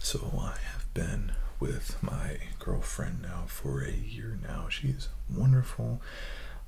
So I have been with my girlfriend now for a year now. She's wonderful.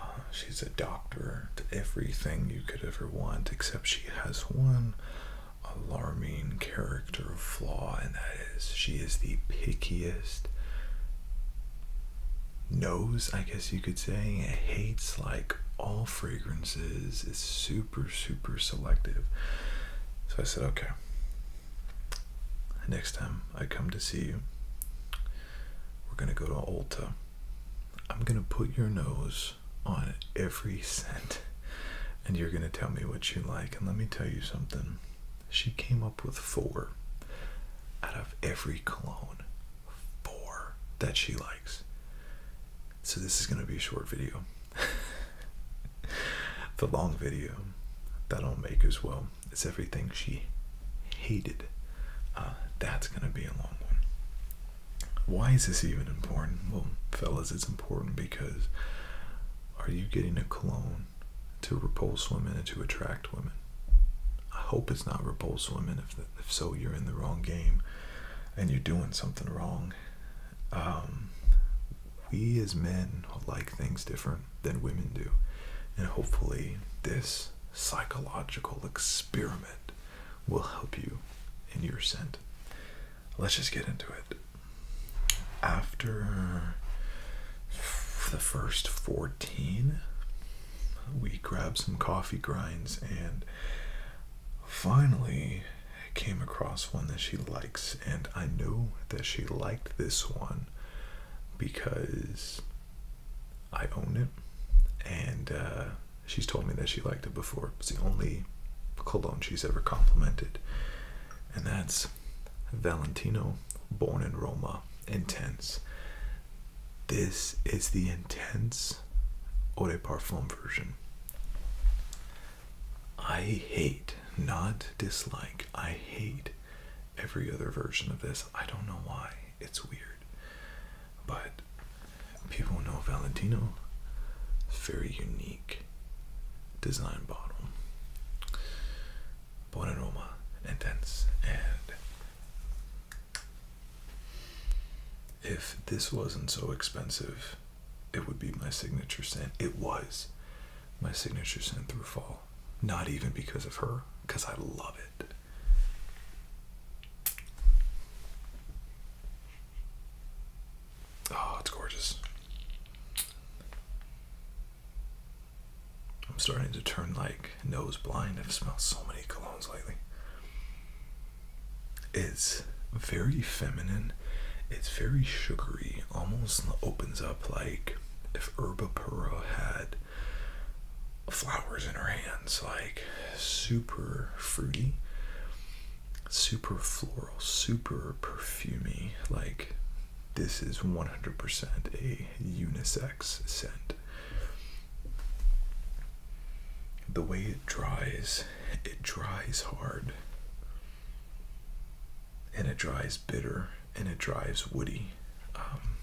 Uh, she's a doctor everything you could ever want, except she has one alarming character flaw, and that is she is the pickiest nose, I guess you could say. It hates like all fragrances. It's super super, super selective. So I said, okay, next time I come to see you, we're going to go to Ulta. I'm going to put your nose on every scent and you're going to tell me what you like. And let me tell you something. She came up with four out of every cologne, four that she likes. So this is going to be a short video. the long video that I'll make as well is everything she hated. Uh, that's going to be a long one. Why is this even important? Well, fellas, it's important because are you getting a cologne to repulse women and to attract women? I hope it's not repulse women. If, if so, you're in the wrong game and you're doing something wrong. Um, we as men like things different than women do. And hopefully, this psychological experiment will help you in your scent. Let's just get into it. After the first 14, we grab some coffee grinds and finally came across one that she likes, and I know that she liked this one because I own it, and uh, she's told me that she liked it before. It's the only cologne she's ever complimented, and that's Valentino, born in Roma, intense. This is the intense eau de parfum version. I hate, not dislike, I hate every other version of this. I don't know why. It's weird. But people know Valentino. Very unique design bottle. Bon aroma, intense, and if this wasn't so expensive, it would be my signature scent. It was my signature scent through fall. Not even because of her, because I love it. Oh, it's gorgeous. I'm starting to turn like nose blind. I've smelled so many colognes lately. It's very feminine. It's very sugary. Almost opens up like if Perro had flowers in her hands. Like super fruity, super floral, super perfumy. Like this is 100% a unisex scent the way it dries, it dries hard. And it dries bitter and it dries woody. Um,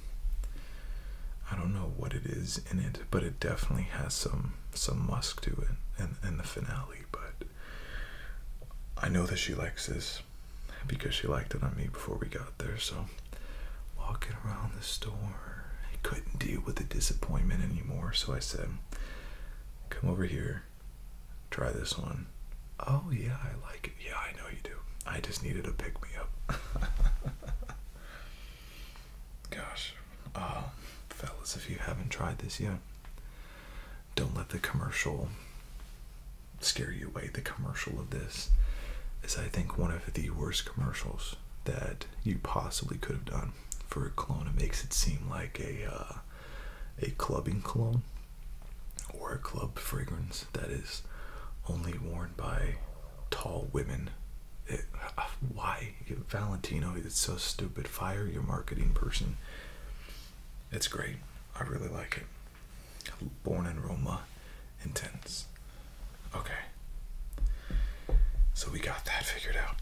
I don't know what it is in it, but it definitely has some some musk to it and, in the finale. But I know that she likes this because she liked it on me before we got there. So walking around the store I couldn't deal with the disappointment anymore, so I said, Come over here, try this one. Oh, yeah, I like it. Yeah, I know you do. I just needed a pick me up. Gosh, um, fellas, if you haven't tried this yet, don't let the commercial scare you away. The commercial of this is, I think, one of the worst commercials that you possibly could have done for a cologne. It makes it seem like a uh, a clubbing cologne or a club fragrance that is only worn by tall women. Uh, why Valentino? It's so stupid. Fire your marketing person. It's great. I really like it. Born in Roma, intense. Okay. So we got that figured out.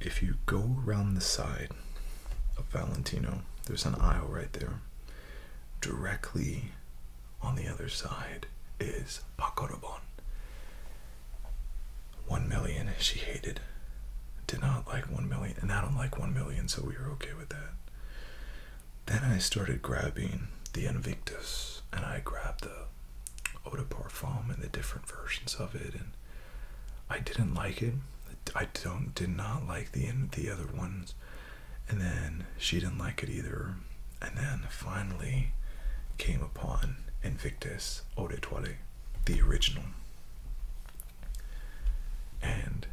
If you go around the side of Valentino, there's an aisle right there. Directly on the other side is Pacorobon. One million she hated. Did not like one million, and I don't like one million, so we were okay with that. Then I started grabbing the Invictus, and I grabbed the uh, Parfum and the different versions of it, and I didn't like it. I don't did not like the the other ones, and then she didn't like it either. And then finally came upon Invictus Eau de the original. And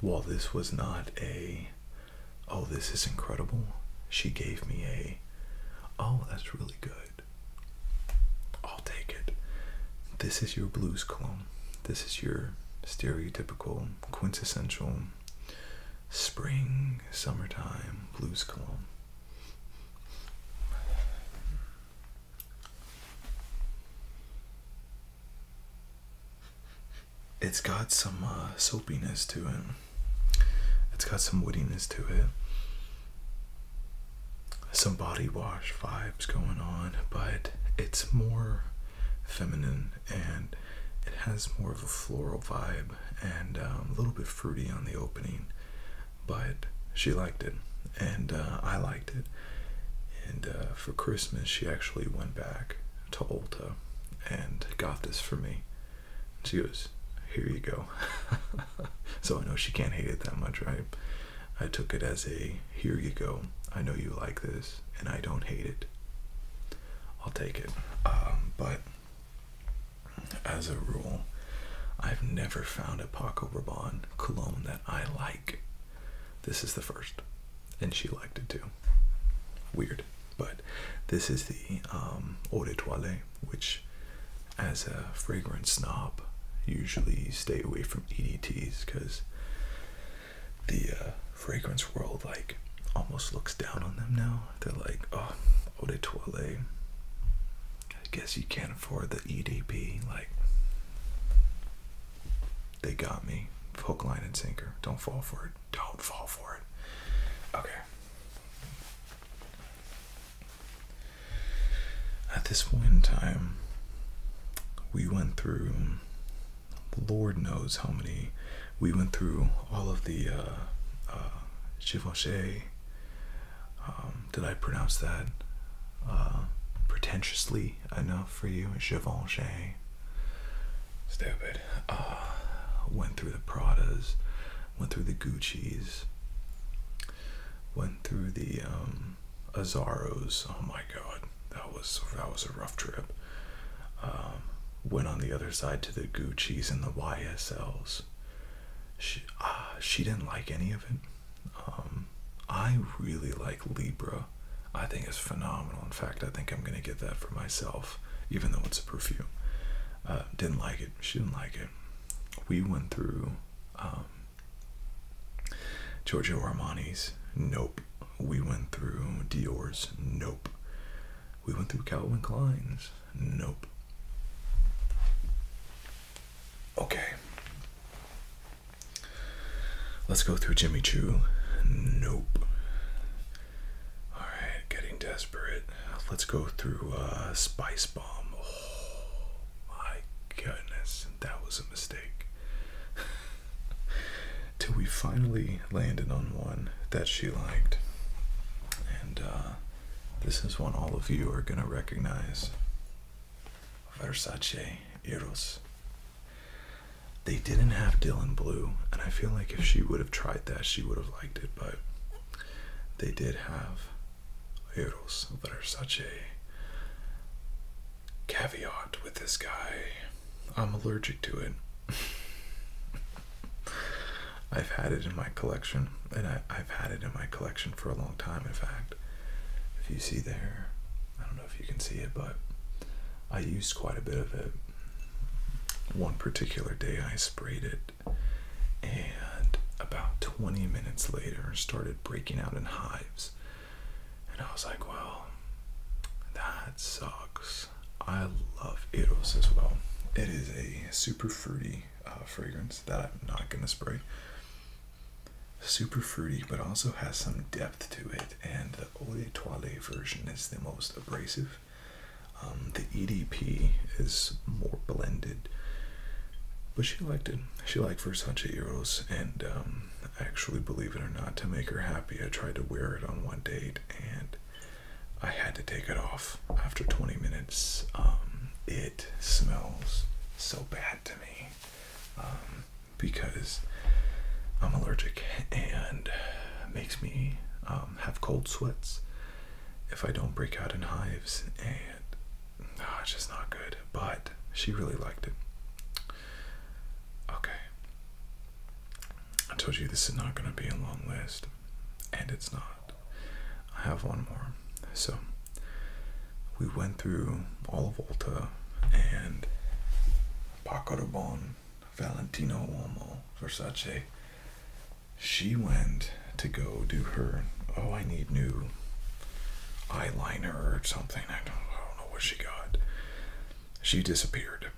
while this was not a oh, this is incredible. She gave me a, oh, that's really good. I'll take it. This is your blues clone. This is your stereotypical, quintessential spring, summertime blues cologne it's got some uh, soapiness to it. It's got some woodiness to it. Some body wash vibes going on, but it's more feminine and it has more of a floral vibe and um, a little bit fruity on the opening. But she liked it, and uh, I liked it. And uh, for Christmas, she actually went back to Ulta and got this for me. She goes, Here you go. so I know she can't hate it that much, right? I took it as a here you go. I know you like this, and I don't hate it. I'll take it. Um, but as a rule, I've never found a Paco Rabanne cologne that I like. This is the first, and she liked it too. Weird but this is the um, eau de toilette, which, as a fragrance snob, usually stay away from EDTs because the uh, fragrance world like almost looks down on them now. They're like, oh, eau de toilette. I guess you can't afford the EDP. Like, they got me. Hook, line, and sinker. Don't fall for it don't fall for it. Okay. At this point in time, we went through, Lord knows how many, we went through all of the uh, uh, Givenchy. Um, did I pronounce that uh, pretentiously enough for you? Givenchy. Stupid. Uh, went through the Pradas, went through the Gucci's, went through the um, Azaros. Oh my God, that was that was a rough trip. Um, went on the other side to the Gucci's and the YSLs. She, uh, she didn't like any of it. Um, I really like Libra. I think it's phenomenal. In fact, I think I'm going to get that for myself even though it's a perfume. Uh, didn't like it. She didn't like it. We went through um, Giorgio Armani's. Nope. We went through Dior's. Nope. We went through Calvin Klein's. Nope. Okay. Let's go through Jimmy Choo. Nope. All right, getting desperate. Let's go through uh, Spice Bomb. Oh my goodness, that was a mistake. Till we finally landed on one that she liked. And uh, this is one all of you are going to recognize Versace Eros. They didn't have Dylan Blue, and I feel like if she would have tried that, she would have liked it, but they did have Eros, that are such a caveat with this guy. I'm allergic to it. I've had it in my collection, and I, I've had it in my collection for a long time, in fact. If you see there, I don't know if you can see it, but I used quite a bit of it one particular day I sprayed it, and about 20 minutes later, started breaking out in hives. And I was like, well, that sucks. I love Eros as well. It is a super fruity uh, fragrance that I'm not going to spray. Super fruity, but also has some depth to it, and the toile version is the most abrasive. Um, the EDP is more blended, but she liked it. She liked Versace Eros, and um, actually, believe it or not, to make her happy, I tried to wear it on one date, and I had to take it off after 20 minutes. Um, it smells so bad to me. Um, because I'm allergic and makes me um, have cold sweats if I don't break out in hives, and oh, just not good. But she really liked it. Okay. I told you this is not going to be a long list, and it's not. I have one more. So, we went through all of Volta and Pacarobon Valentino Uomo, Versace, she went to go do her, oh, I need new eyeliner or something. I don't know what she got. She disappeared.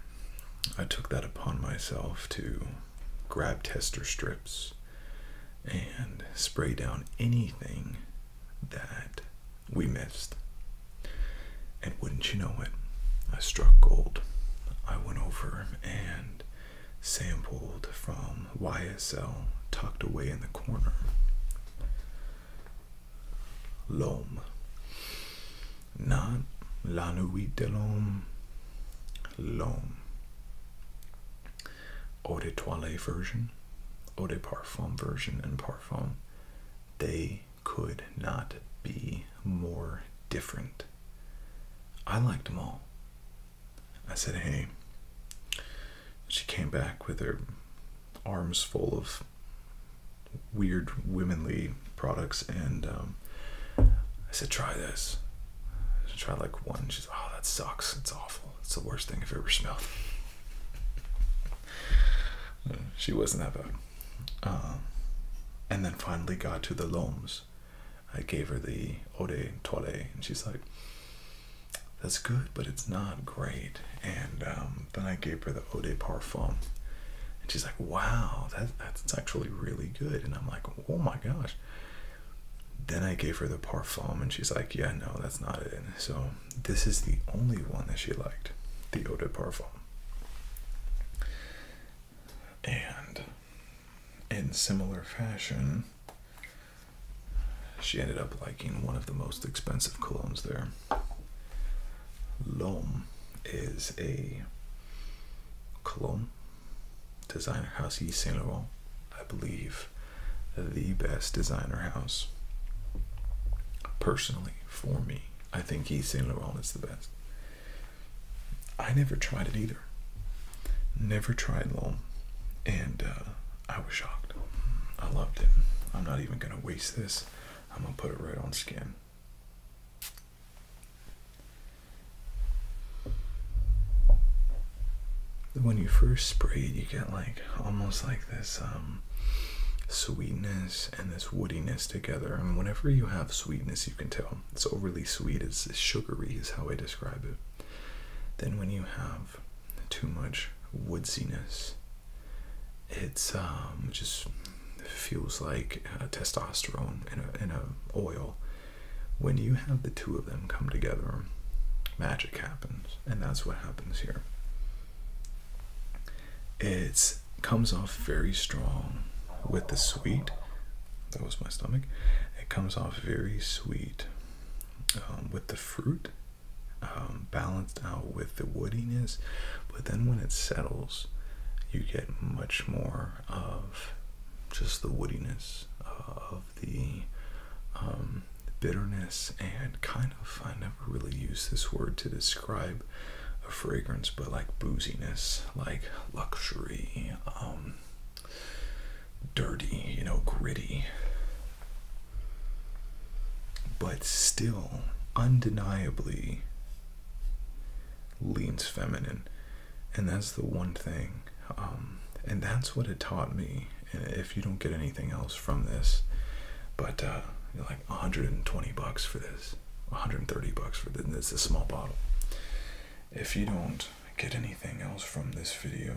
I took that upon myself to grab tester strips and spray down anything that we missed. And wouldn't you know it, I struck gold. I went over and sampled from YSL tucked away in the corner. L'homme. Not la nuit de l'homme. L'homme. Eau de toilette version, eau de parfum version, and parfum. They could not be more different. I liked them all. I said, hey. She came back with her arms full of weird womanly products, and um, I said, try this. I tried like one. She's, oh, that sucks. It's awful. It's the worst thing I've ever smelled she wasn't ever. Uh, um, and then finally got to the loams. I gave her the Ode Tole, and she's like, that's good, but it's not great. And um, then I gave her the Eau de Parfum. And she's like, wow, that's actually really good. And I'm like, oh my gosh. Then I gave her the Parfum, and she's like, yeah, no, that's not it. so this is the only one that she liked, the Eau de Parfum. And in similar fashion, she ended up liking one of the most expensive colognes there. L'Homme is a cologne designer house, Yves Saint Laurent, I believe, the best designer house. Personally, for me. I think Yves Saint Laurent is the best. I never tried it either. Never tried long, and uh, I was shocked. I loved it. I'm not even gonna waste this. I'm gonna put it right on skin. When you first spray it, you get like almost like this um, sweetness and this woodiness together. And whenever you have sweetness, you can tell it's overly sweet, it's sugary, is how I describe it. Then when you have too much woodiness, it's um, just feels like uh, testosterone in a, in a oil. When you have the two of them come together, magic happens and that's what happens here. It comes off very strong with the sweet. That was my stomach. It comes off very sweet um, with the fruit, um, balanced out with the woodiness. But then when it settles, you get much more of just the woodiness uh, of the um, um, bitterness and kind of, I never really use this word to describe a fragrance, but like booziness, like luxury, um, dirty, you know, gritty, but still undeniably leans feminine. And that's the one thing. Um, and that's what it taught me if you don't get anything else from this but uh, you like 120 bucks for this 130 bucks for this a small bottle if you don't get anything else from this video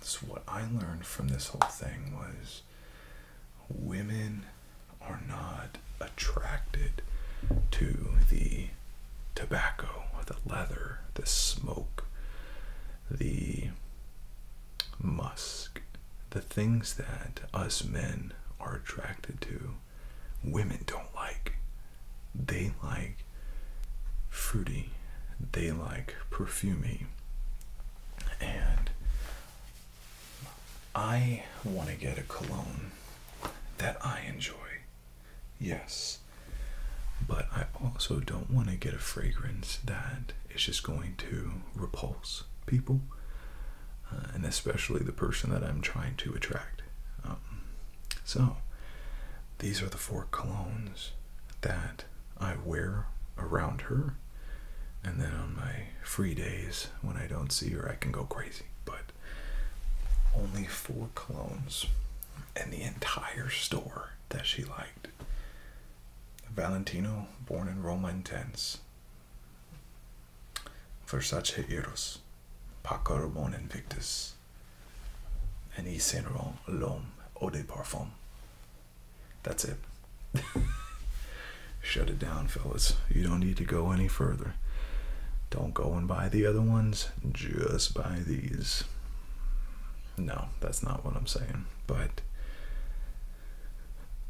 so what i learned from this whole thing was women are not attracted to the tobacco the leather the smoke the musk the things that us men are attracted to, women don't like. They like fruity, they like perfumy. And I want to get a cologne that I enjoy. Yes. But I also don't want to get a fragrance that it's just going to repulse people, uh, and especially the person that I'm trying to attract. Um, so, these are the four colognes that I wear around her, and then on my free days when I don't see her, I can go crazy. But only four colognes and the entire store that she liked. Valentino, born in Roma, intense. Versace Eros, Paco Rabanne Invictus, and Yves Saint Laurent L'Homme Eau de Parfum. That's it. Shut it down, fellas. You don't need to go any further. Don't go and buy the other ones, just buy these. No, that's not what I'm saying but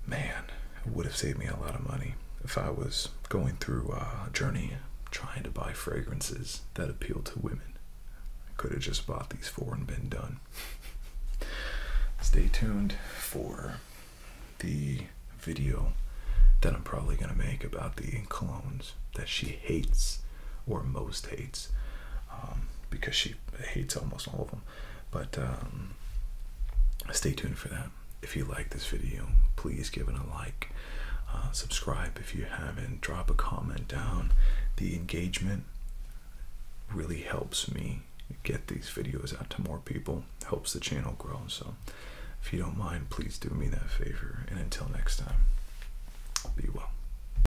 man, it would have saved me a lot of money if I was going through a journey trying to buy fragrances that appeal to women. I could have just bought these four and been done. Stay tuned for the video that I'm probably going to make about the colognes that she hates or most hates. Um, because she hates almost all of them. But um, stay tuned for that. If you like this video, please give it a like. Uh, subscribe if you haven't. Drop a comment down. The engagement really helps me get these videos out to more people. Helps the channel grow. So if you don't mind, please do me that favor. And until next time, be well.